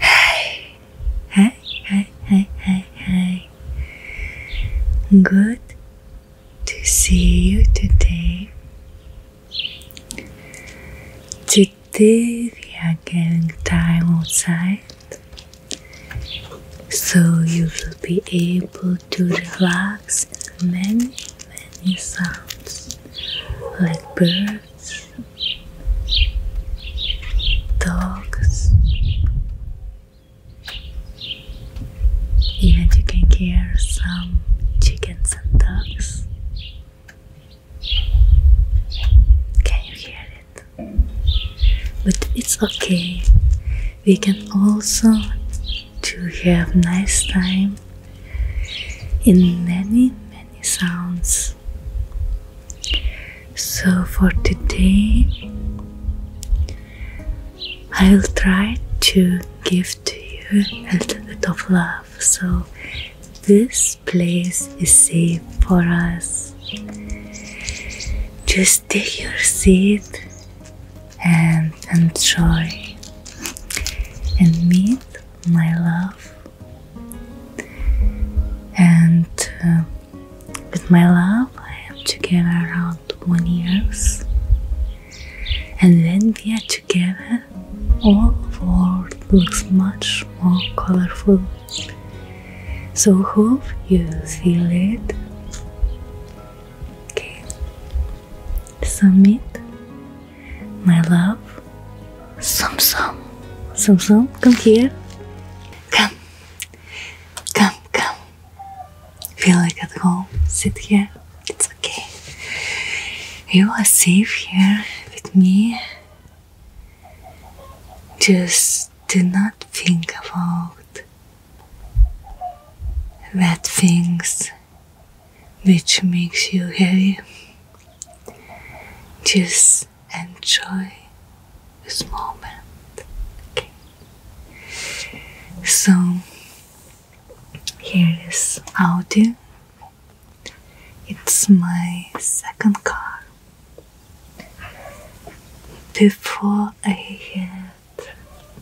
Hi, hi, hi, hi, hi, hi. Good to see you today. Today we are getting time outside, so you will be able to relax in many, many sounds like birds dogs. Even you can hear some chickens and ducks. Can you hear it? But it's okay. We can also to have nice time in many many sounds. So for today, I'll try to give to you a little bit of love. So this place is safe for us. Just take your seat and enjoy and meet my love and uh, with my love I am together around one years and when we are together all the world looks much more colorful so hope you feel it okay submit my love. Sum Sum. Sum Sum, come here. Come. Come, come. Feel like at home. Sit here. It's okay. You are safe here with me. Just do not think about bad things which makes you happy. Just enjoy this moment. So here is audio. It's my second car. Before I had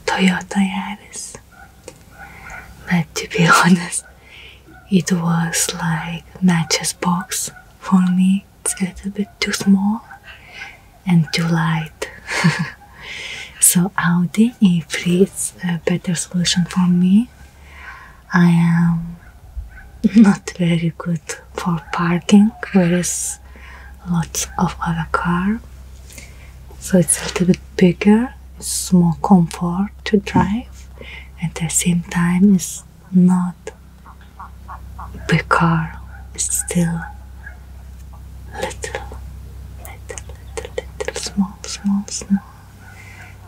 Toyota Iris. But to be honest, it was like mattress box for me. It's a little bit too small and too light. so Audi e is a better solution for me. I am not very good for parking, whereas lots of other car. So it's a little bit bigger it's more comfort to drive at the same time it's not big car it's still little little little little small small small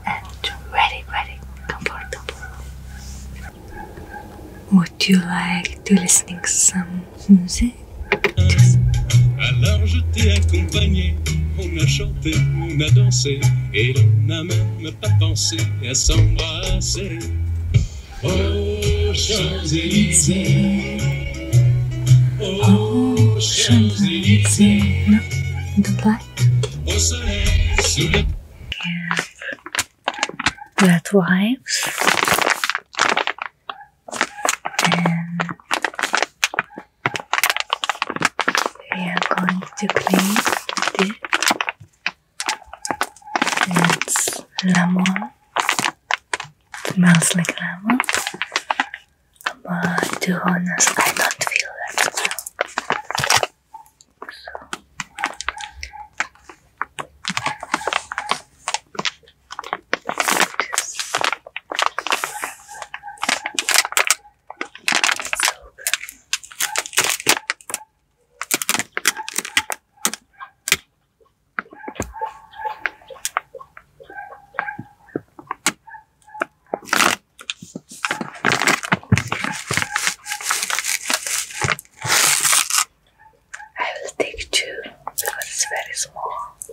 and ready, ready, comfortable would you like to listening some music? Et on a dansé, et on n'a même pas pensé à s'embrasser. Aux Champs-Élysées, aux Champs-Élysées, Non, we are going to play this. it's lemon smells like lemon but to honest I don't feel that well. I will take two because it's very small.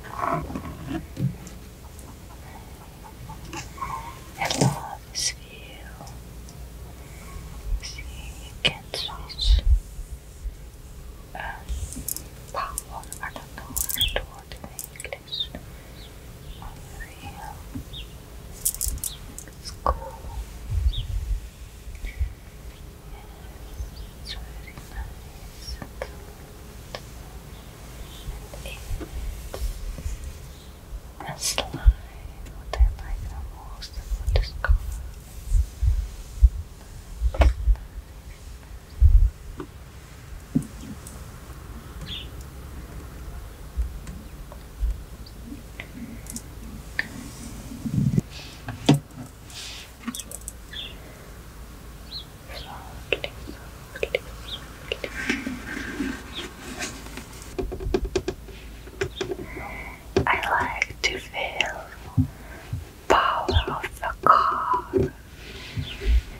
I love this See, you can switch Paolo Arnatore Toward English Unreal School It's very nice and and and slime, what I like the most about this color I like to feel power of the car.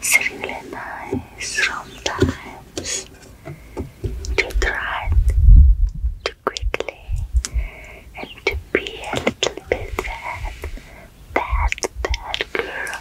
It's really nice sometimes to try to quickly and to be a little bit bad, bad, bad girl.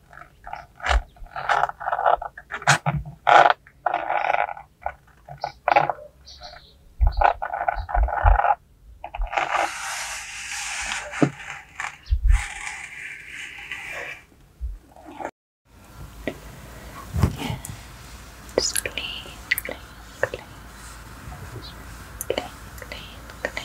yeah. Just clean, clean, clean. Clean, clean, clean.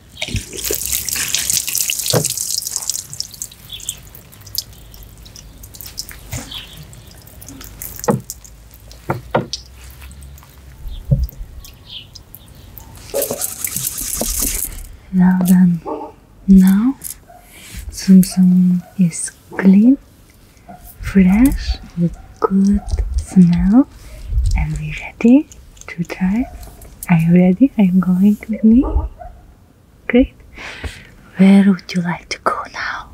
Well done. Now, Tsum Tsum is clean, fresh, with good smell, and we're ready ready to try? Are you ready? Are you going with me? Great. Where would you like to go now?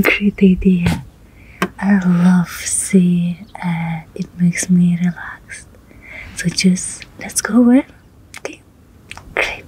Great idea. I love sea and it makes me relaxed. So just let's go where? Okay. Great.